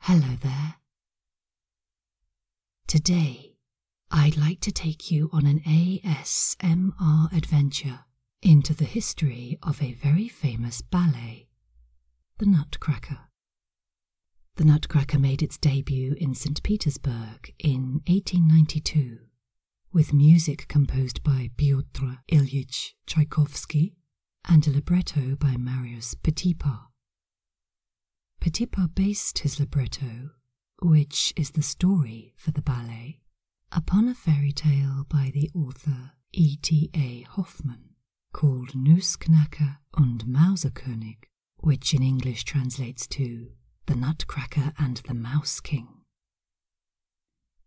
Hello there. Today, I'd like to take you on an ASMR adventure into the history of a very famous ballet, The Nutcracker. The Nutcracker made its debut in St. Petersburg in 1892 with music composed by Pyotr Ilyich Tchaikovsky and a libretto by Marius Petipa. Petipa based his libretto, which is the story for the ballet, upon a fairy tale by the author E. T. A. Hoffmann called Nussknacker und Mauserkönig, which in English translates to The Nutcracker and the Mouse King.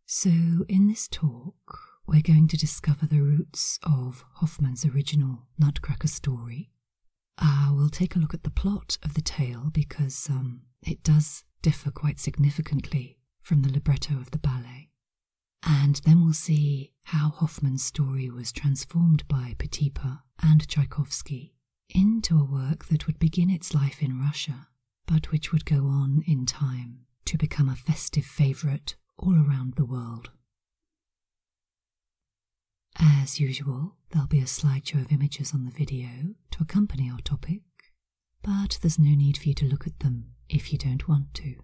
So, in this talk, we're going to discover the roots of Hoffman's original Nutcracker story. Uh, we'll take a look at the plot of the tale because um, it does differ quite significantly from the libretto of the ballet. And then we'll see how Hoffman's story was transformed by Petipa and Tchaikovsky into a work that would begin its life in Russia, but which would go on in time to become a festive favourite all around the world. As usual, there'll be a slideshow of images on the video to accompany our topic, but there's no need for you to look at them if you don't want to.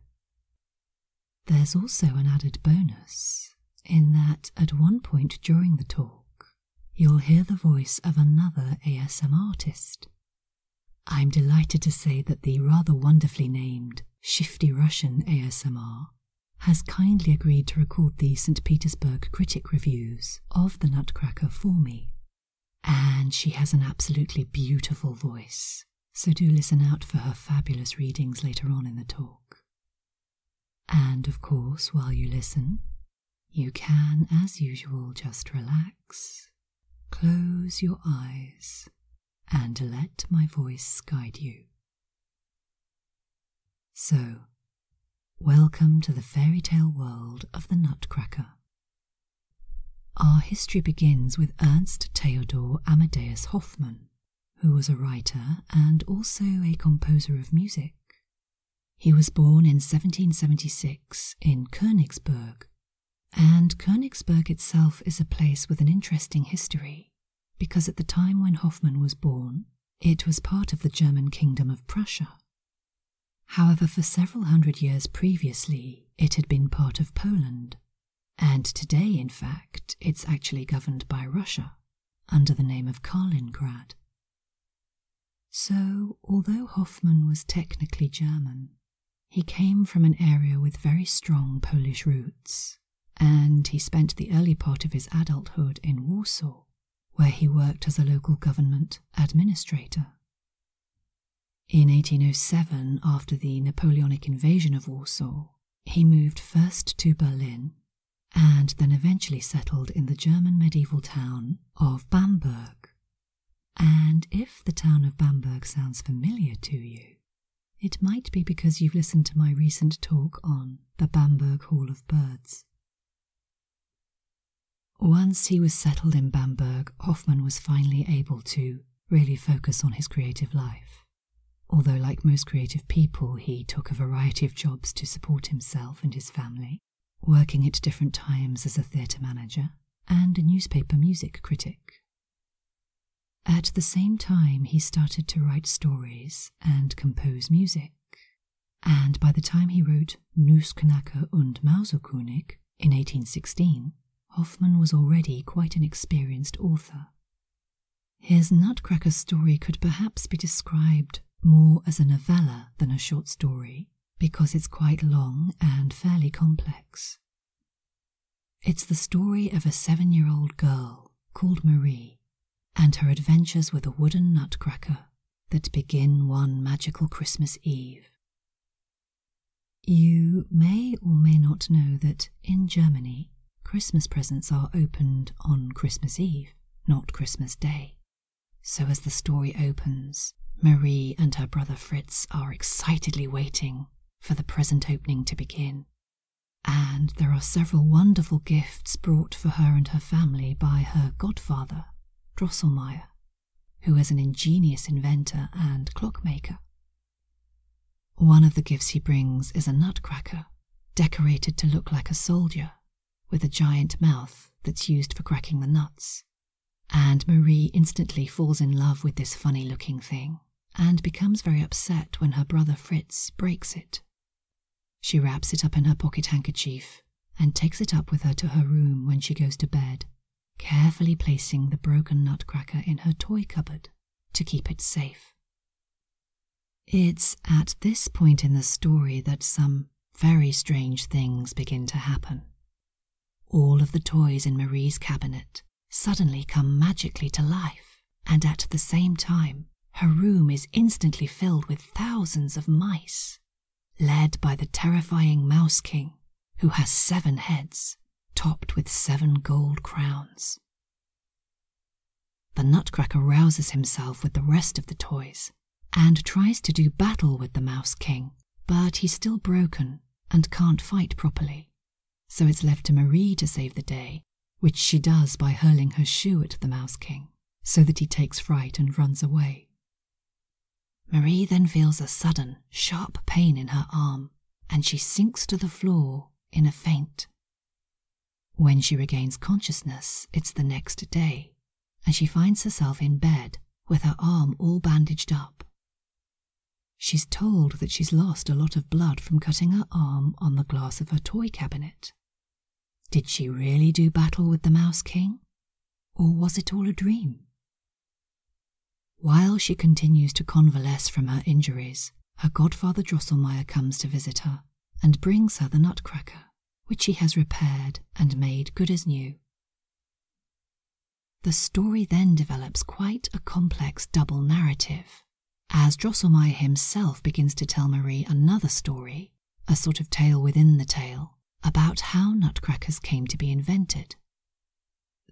There's also an added bonus in that at one point during the talk, you'll hear the voice of another ASM artist I'm delighted to say that the rather wonderfully named Shifty Russian ASMR has kindly agreed to record the St. Petersburg critic reviews of the Nutcracker for me. And she has an absolutely beautiful voice, so do listen out for her fabulous readings later on in the talk. And of course, while you listen, you can, as usual, just relax Close your eyes and let my voice guide you. So, welcome to the fairy tale world of the Nutcracker. Our history begins with Ernst Theodor Amadeus Hoffmann, who was a writer and also a composer of music. He was born in 1776 in Königsberg and Königsberg itself is a place with an interesting history, because at the time when Hoffmann was born, it was part of the German Kingdom of Prussia. However, for several hundred years previously, it had been part of Poland, and today, in fact, it's actually governed by Russia under the name of Kaliningrad. So, although Hoffmann was technically German, he came from an area with very strong Polish roots, and he spent the early part of his adulthood in Warsaw, where he worked as a local government administrator. In 1807, after the Napoleonic invasion of Warsaw, he moved first to Berlin and then eventually settled in the German medieval town of Bamberg, and if the town of Bamberg sounds familiar to you, it might be because you've listened to my recent talk on the Bamberg Hall of Birds. Once he was settled in Bamberg, Hoffman was finally able to really focus on his creative life. Although, like most creative people, he took a variety of jobs to support himself and his family, working at different times as a theatre manager and a newspaper music critic. At the same time, he started to write stories and compose music, and by the time he wrote Nussknacker und Mauserkönig in 1816, Hoffmann was already quite an experienced author. His Nutcracker story could perhaps be described more as a novella than a short story, because it's quite long and fairly complex, it's the story of a seven year old girl called Marie and her adventures with a wooden nutcracker that begin one magical Christmas Eve. You may or may not know that in Germany, Christmas presents are opened on Christmas Eve, not Christmas Day. So, as the story opens, Marie and her brother Fritz are excitedly waiting for the present opening to begin. And there are several wonderful gifts brought for her and her family by her godfather, Drosselmeyer, who is an ingenious inventor and clockmaker. One of the gifts he brings is a nutcracker, decorated to look like a soldier, with a giant mouth that's used for cracking the nuts and Marie instantly falls in love with this funny looking thing and becomes very upset when her brother Fritz breaks it. She wraps it up in her pocket handkerchief and takes it up with her to her room when she goes to bed, carefully placing the broken nutcracker in her toy cupboard to keep it safe. It's at this point in the story that some very strange things begin to happen. All of the toys in Marie's cabinet suddenly come magically to life, and at the same time, her room is instantly filled with thousands of mice, led by the terrifying Mouse King, who has seven heads topped with seven gold crowns. The Nutcracker rouses himself with the rest of the toys and tries to do battle with the Mouse King, but he's still broken and can't fight properly. So it's left to Marie to save the day, which she does by hurling her shoe at the Mouse King, so that he takes fright and runs away. Marie then feels a sudden, sharp pain in her arm, and she sinks to the floor in a faint. When she regains consciousness, it's the next day, and she finds herself in bed with her arm all bandaged up. She's told that she's lost a lot of blood from cutting her arm on the glass of her toy cabinet. Did she really do battle with the Mouse King? Or was it all a dream? While she continues to convalesce from her injuries, her godfather Drosselmeier comes to visit her and brings her the nutcracker, which he has repaired and made good as new. The story then develops quite a complex double narrative, as Drosselmeyer himself begins to tell Marie another story, a sort of tale within the tale, about how nutcrackers came to be invented.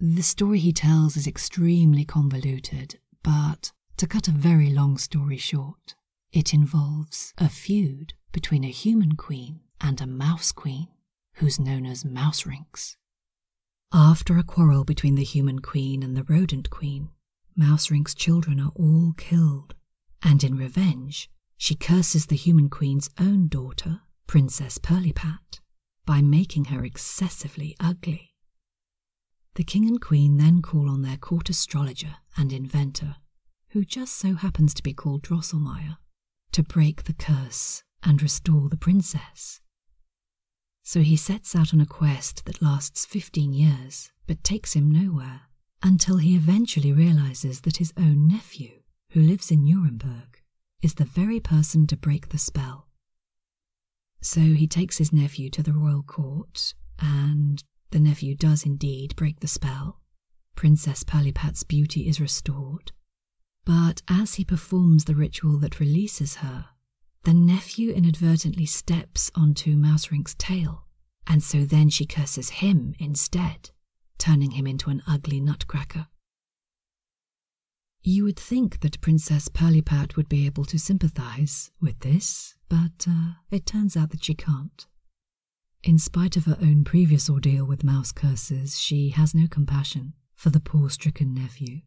The story he tells is extremely convoluted, but to cut a very long story short, it involves a feud between a human queen and a mouse queen, who's known as Mouse Rinks. After a quarrel between the human queen and the rodent queen, Mouserink's children are all killed, and in revenge, she curses the human queen's own daughter, Princess Pirlipat, by making her excessively ugly. The king and queen then call on their court astrologer and inventor, who just so happens to be called Drosselmeyer, to break the curse and restore the princess. So he sets out on a quest that lasts 15 years but takes him nowhere until he eventually realizes that his own nephew, who lives in Nuremberg, is the very person to break the spell. So he takes his nephew to the royal court, and the nephew does indeed break the spell. Princess Palipat's beauty is restored, but as he performs the ritual that releases her, the nephew inadvertently steps onto Mouserink's tail, and so then she curses him instead, turning him into an ugly nutcracker. You would think that Princess Pirlipat would be able to sympathize with this, but uh, it turns out that she can't. In spite of her own previous ordeal with mouse curses, she has no compassion for the poor stricken nephew,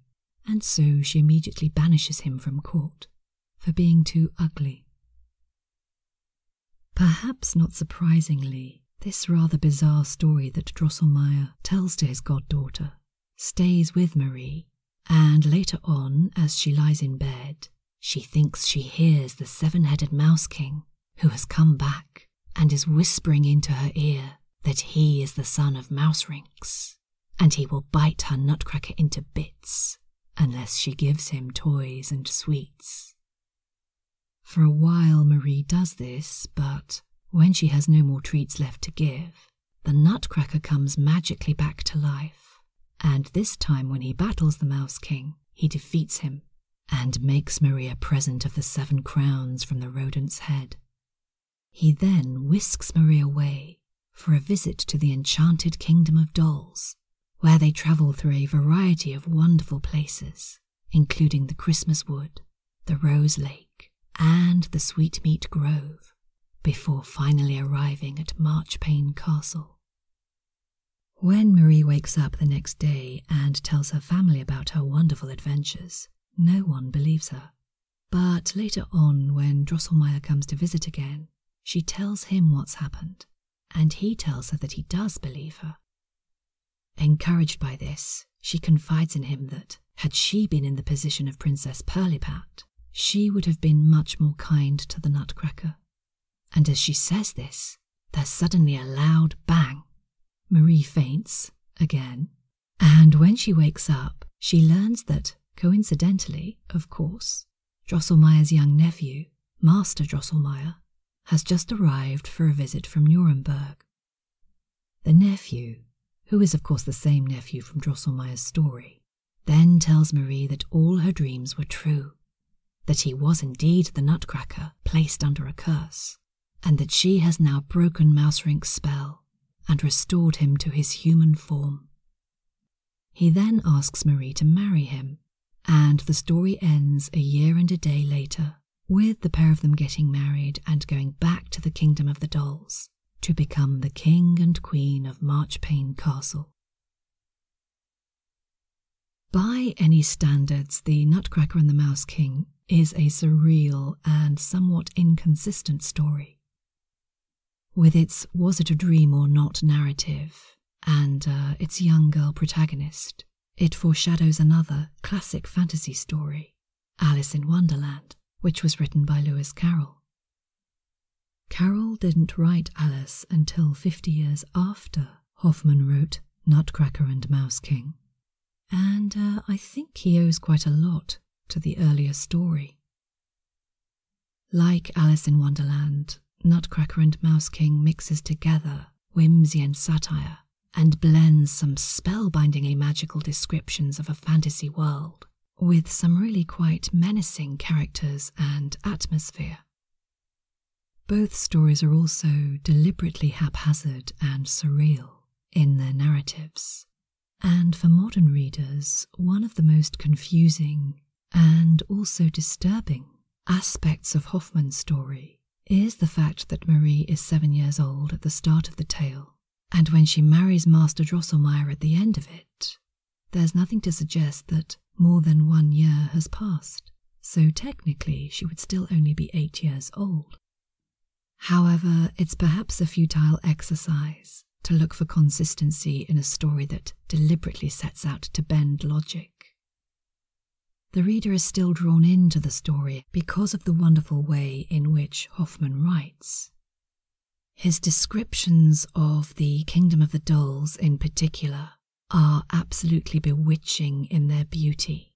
and so she immediately banishes him from court for being too ugly. Perhaps not surprisingly, this rather bizarre story that Drosselmeier tells to his goddaughter stays with Marie, and later on, as she lies in bed, she thinks she hears the seven headed Mouse King who has come back and is whispering into her ear that he is the son of Mouse Rinks, and he will bite her nutcracker into bits unless she gives him toys and sweets. For a while, Marie does this, but when she has no more treats left to give, the nutcracker comes magically back to life, and this time when he battles the Mouse King, he defeats him and makes Marie a present of the seven crowns from the rodent's head. He then whisks Marie away for a visit to the enchanted kingdom of dolls, where they travel through a variety of wonderful places, including the Christmas wood, the Rose Lake, and the Sweetmeat Grove, before finally arriving at Marchpane Castle. When Marie wakes up the next day and tells her family about her wonderful adventures, no one believes her. But later on, when Drosselmeyer comes to visit again, she tells him what's happened, and he tells her that he does believe her. Encouraged by this, she confides in him that, had she been in the position of Princess Pirlipat, she would have been much more kind to the nutcracker. And as she says this, there's suddenly a loud bang, Marie faints again, and when she wakes up, she learns that, coincidentally, of course, Drosselmeyer's young nephew, Master Drosselmeyer, has just arrived for a visit from Nuremberg. The nephew, who is of course the same nephew from Drosselmeyer's story, then tells Marie that all her dreams were true, that he was indeed the nutcracker placed under a curse, and that she has now broken Mouserink's spell and restored him to his human form. He then asks Marie to marry him, and the story ends a year and a day later with the pair of them getting married and going back to the kingdom of the dolls to become the king and queen of Marchpane Castle. By any standards, The Nutcracker and the Mouse King is a surreal and somewhat inconsistent story. With its Was It a Dream or Not narrative and uh, its young girl protagonist, it foreshadows another classic fantasy story, Alice in Wonderland, which was written by Lewis Carroll. Carroll didn't write Alice until 50 years after Hoffman wrote Nutcracker and Mouse King, and uh, I think he owes quite a lot to the earlier story. Like Alice in Wonderland, Nutcracker and Mouse King mixes together whimsy and satire and blends some spellbindingly magical descriptions of a fantasy world with some really quite menacing characters and atmosphere. Both stories are also deliberately haphazard and surreal in their narratives, and for modern readers, one of the most confusing and also disturbing aspects of Hoffmann's story is the fact that Marie is seven years old at the start of the tale, and when she marries Master Drosselmeyer at the end of it, there's nothing to suggest that more than one year has passed, so technically she would still only be eight years old. However, it's perhaps a futile exercise to look for consistency in a story that deliberately sets out to bend logic. The reader is still drawn into the story because of the wonderful way in which Hoffman writes. His descriptions of the Kingdom of the Dolls in particular are absolutely bewitching in their beauty.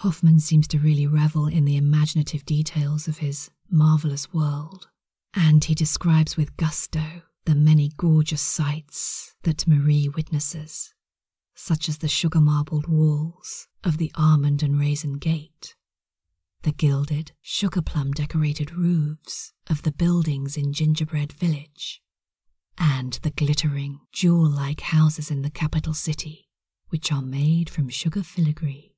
Hoffman seems to really revel in the imaginative details of his marvelous world, and he describes with gusto the many gorgeous sights that Marie witnesses, such as the sugar marbled walls of the almond and raisin gate, the gilded, sugar plum decorated roofs of the buildings in Gingerbread Village, and the glittering, jewel like houses in the capital city, which are made from sugar filigree.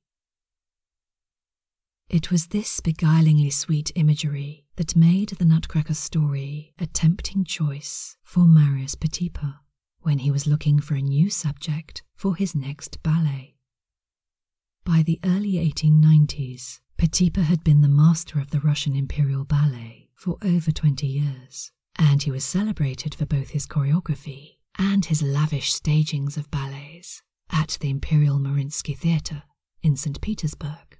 It was this beguilingly sweet imagery that made the Nutcracker story a tempting choice for Marius Petipa when he was looking for a new subject for his next ballet. By the early 1890s, Petipa had been the master of the Russian Imperial Ballet for over 20 years and he was celebrated for both his choreography and his lavish stagings of ballets at the Imperial Mariinsky Theatre in St. Petersburg.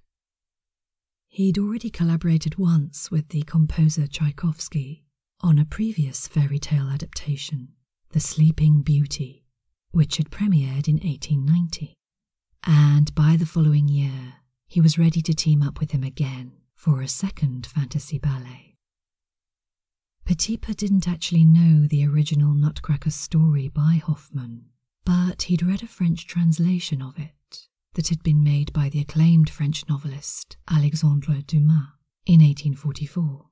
He'd already collaborated once with the composer Tchaikovsky on a previous fairy tale adaptation, The Sleeping Beauty, which had premiered in 1890, and by the following year he was ready to team up with him again for a second fantasy ballet. Petipa didn't actually know the original Nutcracker story by Hoffmann, but he'd read a French translation of it that had been made by the acclaimed French novelist Alexandre Dumas in 1844.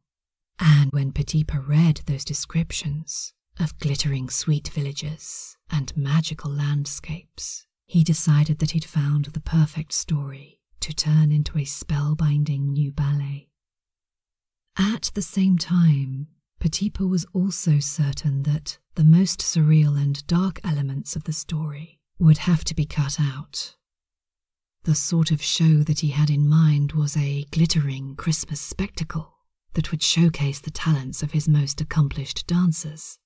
And when Petipa read those descriptions of glittering sweet villages and magical landscapes, he decided that he'd found the perfect story to turn into a spellbinding new ballet. At the same time, Petipa was also certain that the most surreal and dark elements of the story would have to be cut out. The sort of show that he had in mind was a glittering Christmas spectacle that would showcase the talents of his most accomplished dancers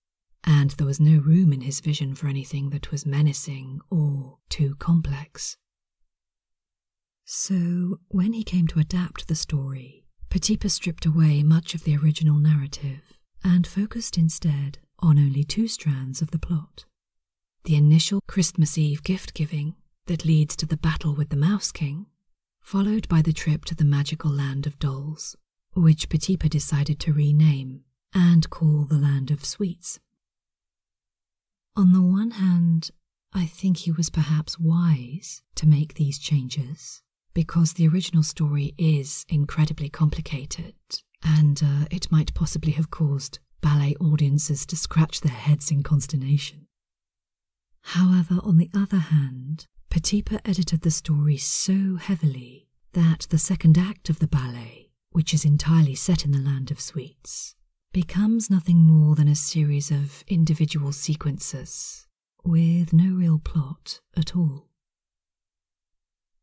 and there was no room in his vision for anything that was menacing or too complex. So, when he came to adapt the story, Petipa stripped away much of the original narrative and focused instead on only two strands of the plot the initial Christmas Eve gift giving that leads to the battle with the Mouse King, followed by the trip to the magical land of dolls which Petipa decided to rename and call the Land of Sweets. On the one hand, I think he was perhaps wise to make these changes because the original story is incredibly complicated and uh, it might possibly have caused ballet audiences to scratch their heads in consternation. However, on the other hand, Petipa edited the story so heavily that the second act of the ballet, which is entirely set in the land of sweets, becomes nothing more than a series of individual sequences with no real plot at all.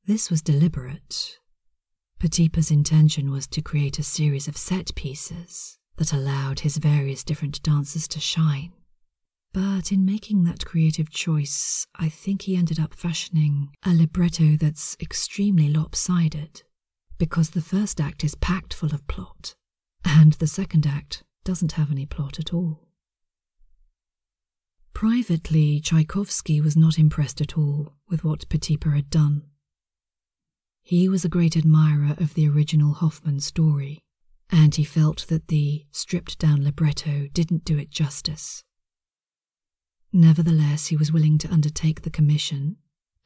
This was deliberate. Petipa's intention was to create a series of set pieces that allowed his various different dances to shine but in making that creative choice, I think he ended up fashioning a libretto that's extremely lopsided, because the first act is packed full of plot, and the second act doesn't have any plot at all. Privately, Tchaikovsky was not impressed at all with what Petipa had done. He was a great admirer of the original Hoffmann story, and he felt that the stripped down libretto didn't do it justice. Nevertheless, he was willing to undertake the commission,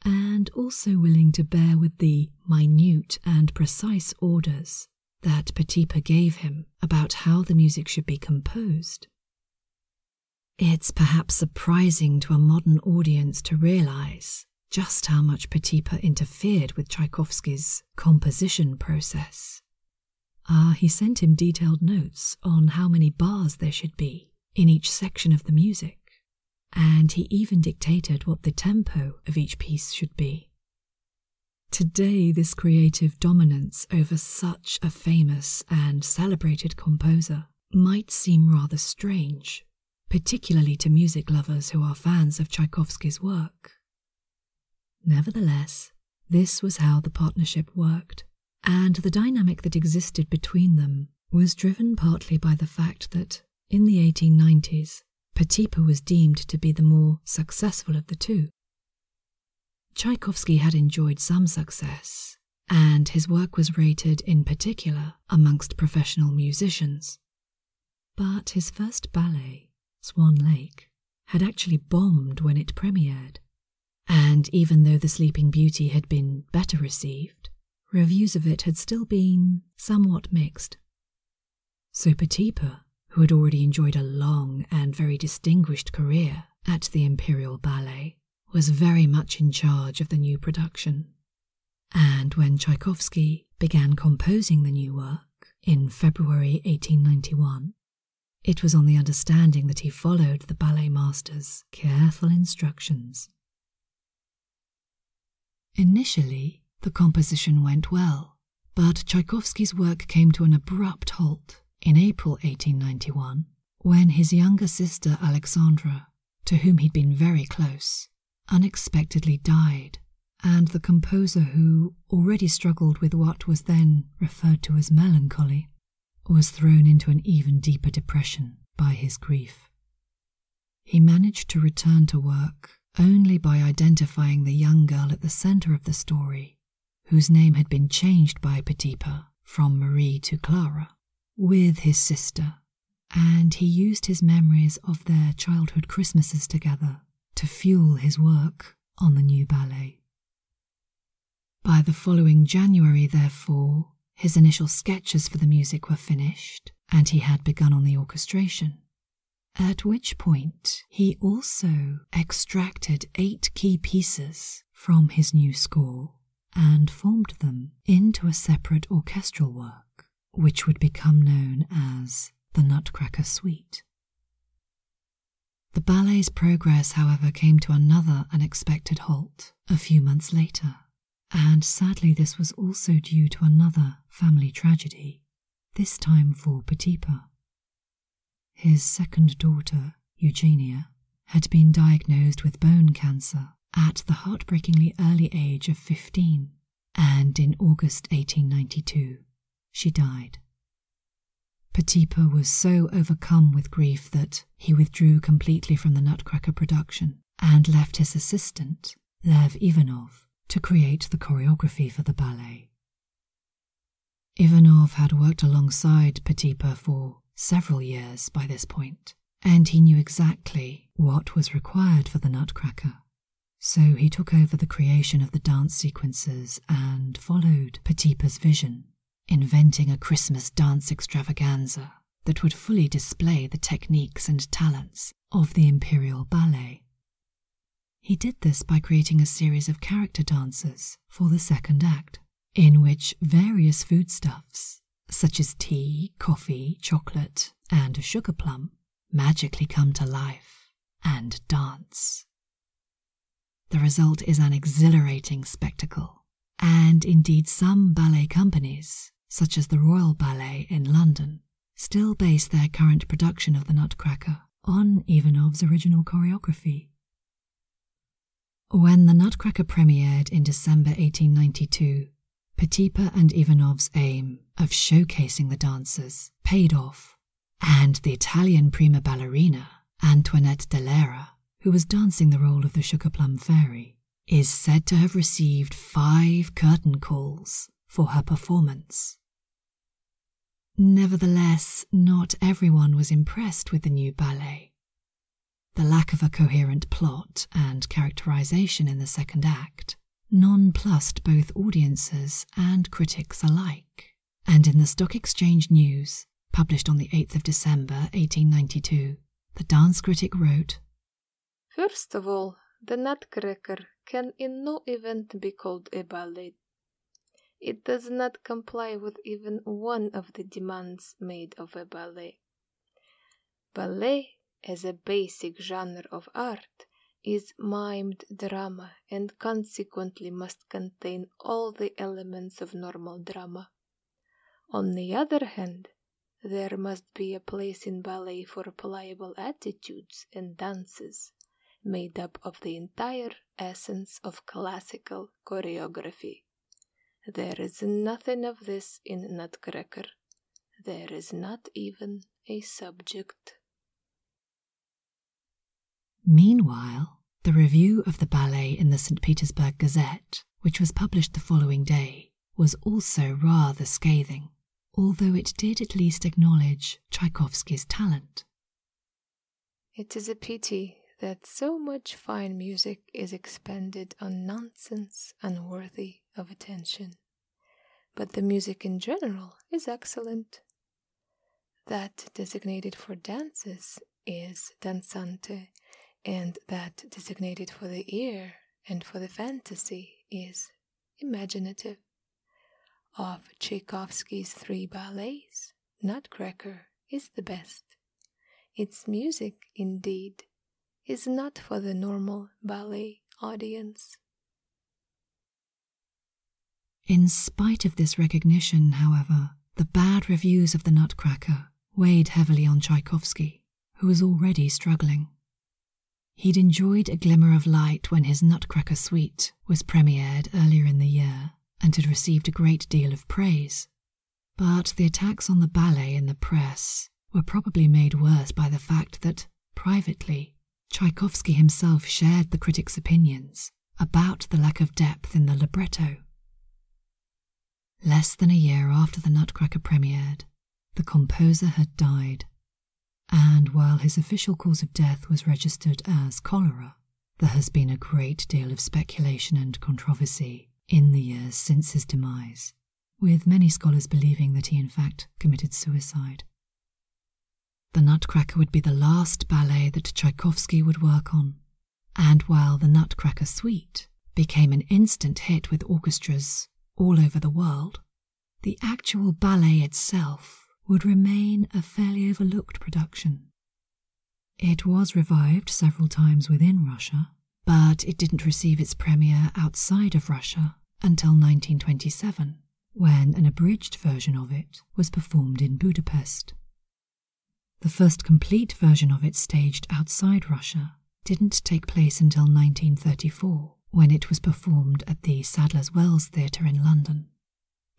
and also willing to bear with the minute and precise orders that Petipa gave him about how the music should be composed. It's perhaps surprising to a modern audience to realize just how much Petipa interfered with Tchaikovsky's composition process. Ah, he sent him detailed notes on how many bars there should be in each section of the music, and he even dictated what the tempo of each piece should be. Today, this creative dominance over such a famous and celebrated composer might seem rather strange, particularly to music lovers who are fans of Tchaikovsky's work. Nevertheless, this was how the partnership worked, and the dynamic that existed between them was driven partly by the fact that, in the 1890s, Petipa was deemed to be the more successful of the two. Tchaikovsky had enjoyed some success, and his work was rated in particular amongst professional musicians. But his first ballet, Swan Lake, had actually bombed when it premiered. And even though The Sleeping Beauty had been better received, reviews of it had still been somewhat mixed. So Petipa, who had already enjoyed a long and very distinguished career at the Imperial Ballet, was very much in charge of the new production. And when Tchaikovsky began composing the new work in February 1891, it was on the understanding that he followed the ballet master's careful instructions. Initially, the composition went well, but Tchaikovsky's work came to an abrupt halt in April 1891 when his younger sister Alexandra, to whom he'd been very close, unexpectedly died, and the composer who already struggled with what was then referred to as melancholy, was thrown into an even deeper depression by his grief. He managed to return to work only by identifying the young girl at the center of the story, whose name had been changed by Petipa from Marie to Clara, with his sister, and he used his memories of their childhood Christmases together to fuel his work on the new ballet. By the following January, therefore, his initial sketches for the music were finished, and he had begun on the orchestration. At which point, he also extracted eight key pieces from his new score and formed them into a separate orchestral work, which would become known as the Nutcracker Suite. The ballet's progress, however, came to another unexpected halt a few months later, and sadly, this was also due to another family tragedy, this time for Petipa. His second daughter, Eugenia, had been diagnosed with bone cancer at the heartbreakingly early age of 15, and in August 1892, she died. Petipa was so overcome with grief that he withdrew completely from the Nutcracker production and left his assistant, Lev Ivanov, to create the choreography for the ballet. Ivanov had worked alongside Petipa for several years by this point, and he knew exactly what was required for the Nutcracker. So he took over the creation of the dance sequences and followed Petipa's vision, inventing a Christmas dance extravaganza that would fully display the techniques and talents of the Imperial Ballet. He did this by creating a series of character dances for the second act, in which various foodstuffs, such as tea, coffee, chocolate, and a sugar plum, magically come to life and dance. The result is an exhilarating spectacle, and indeed, some ballet companies, such as the Royal Ballet in London, still base their current production of the Nutcracker on Ivanov's original choreography. When the Nutcracker premiered in December 1892, Petipa and Ivanov's aim of showcasing the dancers paid off and the Italian prima ballerina Antoinette Delera, who was dancing the role of the Sugar Plum Fairy, is said to have received five curtain calls for her performance. Nevertheless, not everyone was impressed with the new ballet. The lack of a coherent plot and characterization in the second act nonplussed both audiences and critics alike and in the Stock Exchange News, published on the 8th of December 1892, the dance critic wrote First of all, the Nutcracker can in no event be called a ballet. It does not comply with even one of the demands made of a ballet. Ballet, is a basic genre of art, is mimed drama and consequently must contain all the elements of normal drama. On the other hand, there must be a place in ballet for pliable attitudes and dances, made up of the entire essence of classical choreography. There is nothing of this in Nutcracker. There is not even a subject. Meanwhile, the review of the ballet in the St. Petersburg Gazette, which was published the following day, was also rather scathing, although it did at least acknowledge Tchaikovsky's talent. It is a pity that so much fine music is expended on nonsense unworthy of attention, but the music in general is excellent that designated for dances is danzante, and that designated for the ear and for the fantasy is imaginative. Of Tchaikovsky's three ballets, Nutcracker is the best. Its music, indeed, is not for the normal ballet audience. In spite of this recognition, however, the bad reviews of the Nutcracker weighed heavily on Tchaikovsky, who was already struggling. He'd enjoyed a glimmer of light when his Nutcracker Suite was premiered earlier in the year and had received a great deal of praise. But the attacks on the ballet in the press were probably made worse by the fact that, privately, Tchaikovsky himself shared the critics' opinions about the lack of depth in the libretto. Less than a year after the Nutcracker premiered, the composer had died, and while his official cause of death was registered as cholera, there has been a great deal of speculation and controversy in the years since his demise, with many scholars believing that he in fact committed suicide. The Nutcracker would be the last ballet that Tchaikovsky would work on, and while the Nutcracker Suite became an instant hit with orchestras all over the world, the actual ballet itself would remain a fairly overlooked production. It was revived several times within Russia, but it didn't receive its premiere outside of Russia until 1927 when an abridged version of it was performed in Budapest. The first complete version of it staged outside Russia didn't take place until 1934, when it was performed at the Sadler's Wells Theatre in London.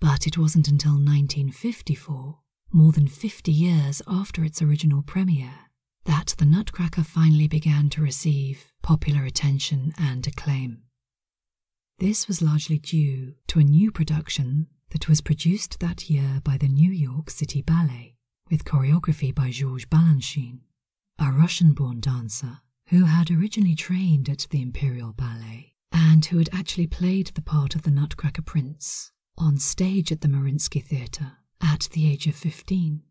But it wasn't until 1954, more than 50 years after its original premiere, that the Nutcracker finally began to receive popular attention and acclaim. This was largely due to a new production that was produced that year by the New York City Ballet, with choreography by George Balanchine, a Russian born dancer who had originally trained at the Imperial Ballet and who had actually played the part of the Nutcracker Prince on stage at the Marinsky Theatre at the age of 15.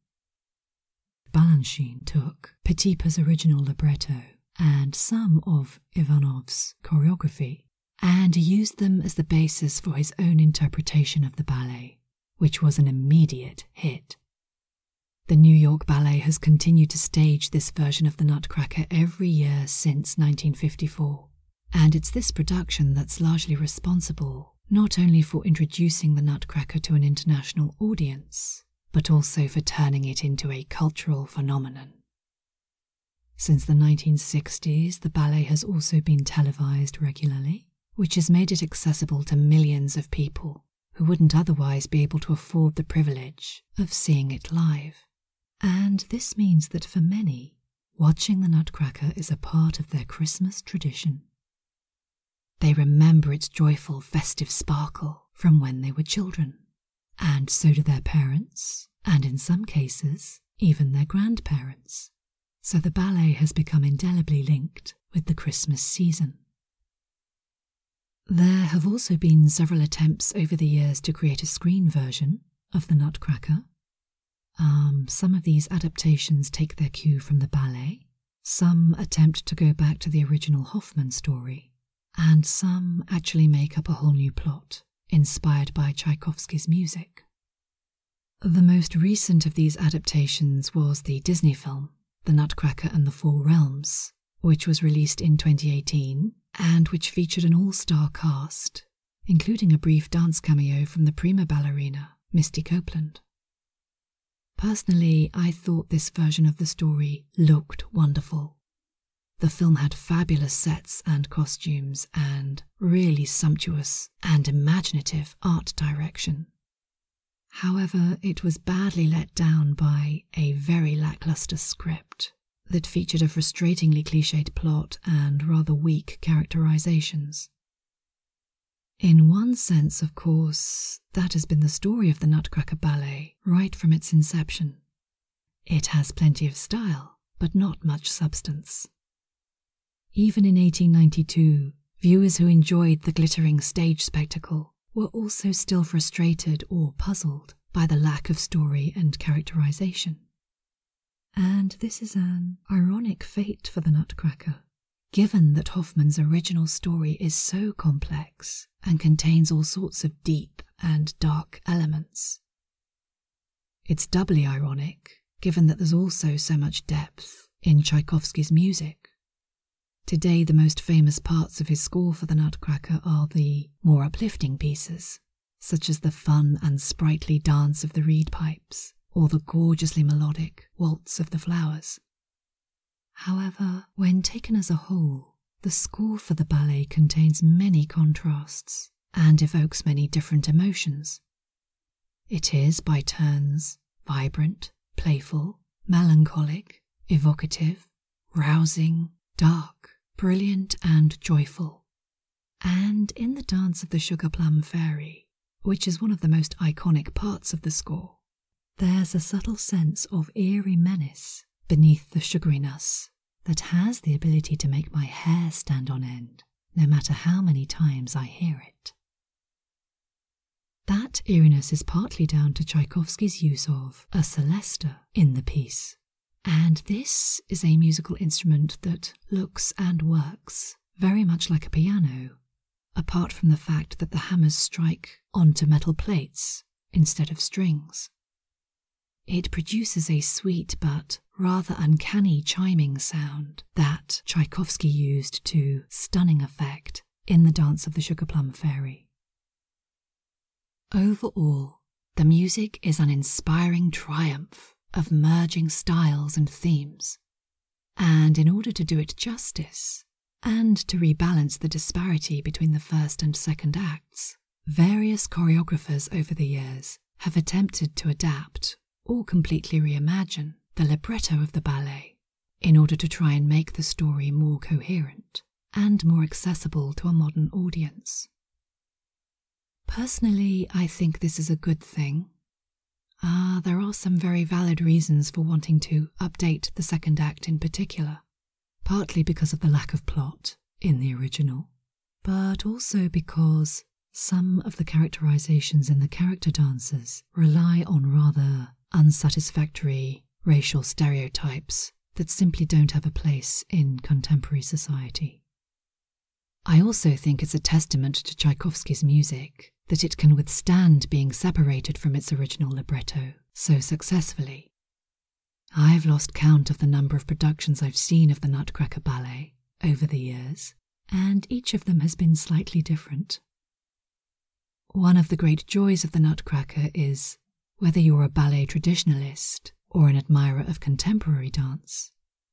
Balanchine took Petipa's original libretto and some of Ivanov's choreography, and used them as the basis for his own interpretation of the ballet, which was an immediate hit. The New York Ballet has continued to stage this version of the Nutcracker every year since 1954, and it's this production that's largely responsible not only for introducing the Nutcracker to an international audience, but also for turning it into a cultural phenomenon. Since the 1960s, the ballet has also been televised regularly, which has made it accessible to millions of people who wouldn't otherwise be able to afford the privilege of seeing it live. And this means that for many, watching the Nutcracker is a part of their Christmas tradition. They remember its joyful, festive sparkle from when they were children, and so do their parents, and in some cases, even their grandparents. So the ballet has become indelibly linked with the Christmas season. There have also been several attempts over the years to create a screen version of The Nutcracker. Um, some of these adaptations take their cue from the ballet, some attempt to go back to the original Hoffmann story, and some actually make up a whole new plot, inspired by Tchaikovsky's music. The most recent of these adaptations was the Disney film, The Nutcracker and the Four Realms, which was released in 2018 and which featured an all star cast, including a brief dance cameo from the prima ballerina, Misty Copeland. Personally, I thought this version of the story looked wonderful the film had fabulous sets and costumes and really sumptuous and imaginative art direction. However, it was badly let down by a very lackluster script that featured a frustratingly cliched plot and rather weak characterisations. In one sense, of course, that has been the story of the Nutcracker Ballet right from its inception. It has plenty of style, but not much substance. Even in 1892, viewers who enjoyed the glittering stage spectacle were also still frustrated or puzzled by the lack of story and characterization. And this is an ironic fate for the Nutcracker. Given that Hoffman's original story is so complex, and contains all sorts of deep and dark elements. It's doubly ironic, given that there's also so much depth in Tchaikovsky's music. Today, the most famous parts of his score for the Nutcracker are the more uplifting pieces, such as the fun and sprightly dance of the reed pipes or the gorgeously melodic waltz of the flowers. However, when taken as a whole, the score for the ballet contains many contrasts and evokes many different emotions. It is, by turns, vibrant, playful, melancholic, evocative, rousing, dark, brilliant, and joyful. And in the dance of the Sugar Plum Fairy, which is one of the most iconic parts of the score, there's a subtle sense of eerie menace beneath the sugariness that has the ability to make my hair stand on end, no matter how many times I hear it. That eeriness is partly down to Tchaikovsky's use of a celesta in the piece, and this is a musical instrument that looks and works very much like a piano, apart from the fact that the hammers strike onto metal plates instead of strings. It produces a sweet but rather uncanny chiming sound that Tchaikovsky used to stunning effect in the Dance of the Sugar Plum Fairy. Overall, the music is an inspiring triumph of merging styles and themes, and in order to do it justice, and to rebalance the disparity between the first and second acts. Various choreographers over the years have attempted to adapt or completely reimagine the libretto of the ballet in order to try and make the story more coherent and more accessible to a modern audience. Personally, I think this is a good thing. Ah, there are some very valid reasons for wanting to update the second act in particular, partly because of the lack of plot in the original, but also because some of the characterizations in the character dances rely on rather unsatisfactory racial stereotypes that simply don't have a place in contemporary society. I also think it's a testament to Tchaikovsky's music that it can withstand being separated from its original libretto so successfully I've lost count of the number of productions I've seen of the Nutcracker Ballet over the years, and each of them has been slightly different. One of the great joys of the Nutcracker is whether you're a ballet traditionalist or an admirer of contemporary dance,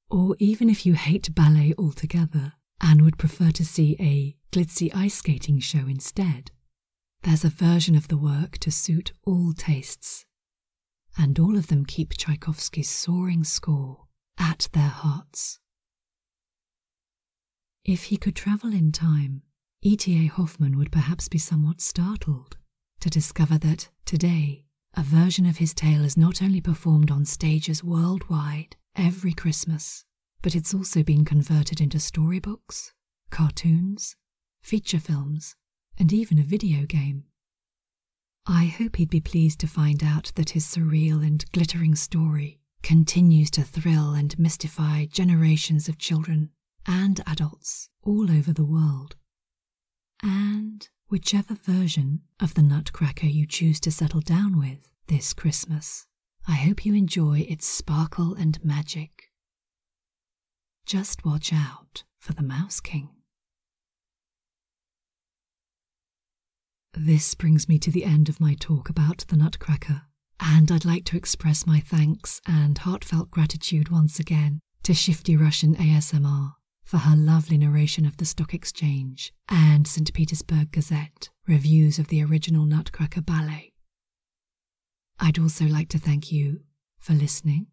or even if you hate ballet altogether and would prefer to see a glitzy ice skating show instead, there's a version of the work to suit all tastes, and all of them keep Tchaikovsky's soaring score at their hearts. If he could travel in time, E.T.A. Hoffman would perhaps be somewhat startled to discover that today a version of his tale is not only performed on stages worldwide every Christmas, but it's also been converted into storybooks, cartoons, feature films, and even a video game. I hope he'd be pleased to find out that his surreal and glittering story continues to thrill and mystify generations of children and adults all over the world. And whichever version of the Nutcracker you choose to settle down with this Christmas, I hope you enjoy its sparkle and magic just watch out for the Mouse King. This brings me to the end of my talk about the Nutcracker, and I'd like to express my thanks and heartfelt gratitude once again to Shifty Russian ASMR for her lovely narration of the Stock Exchange and St. Petersburg Gazette reviews of the original Nutcracker Ballet. I'd also like to thank you for listening,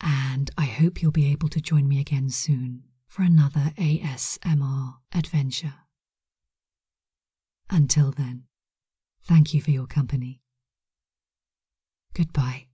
and I hope you'll be able to join me again soon for another ASMR adventure. Until then, thank you for your company. Goodbye.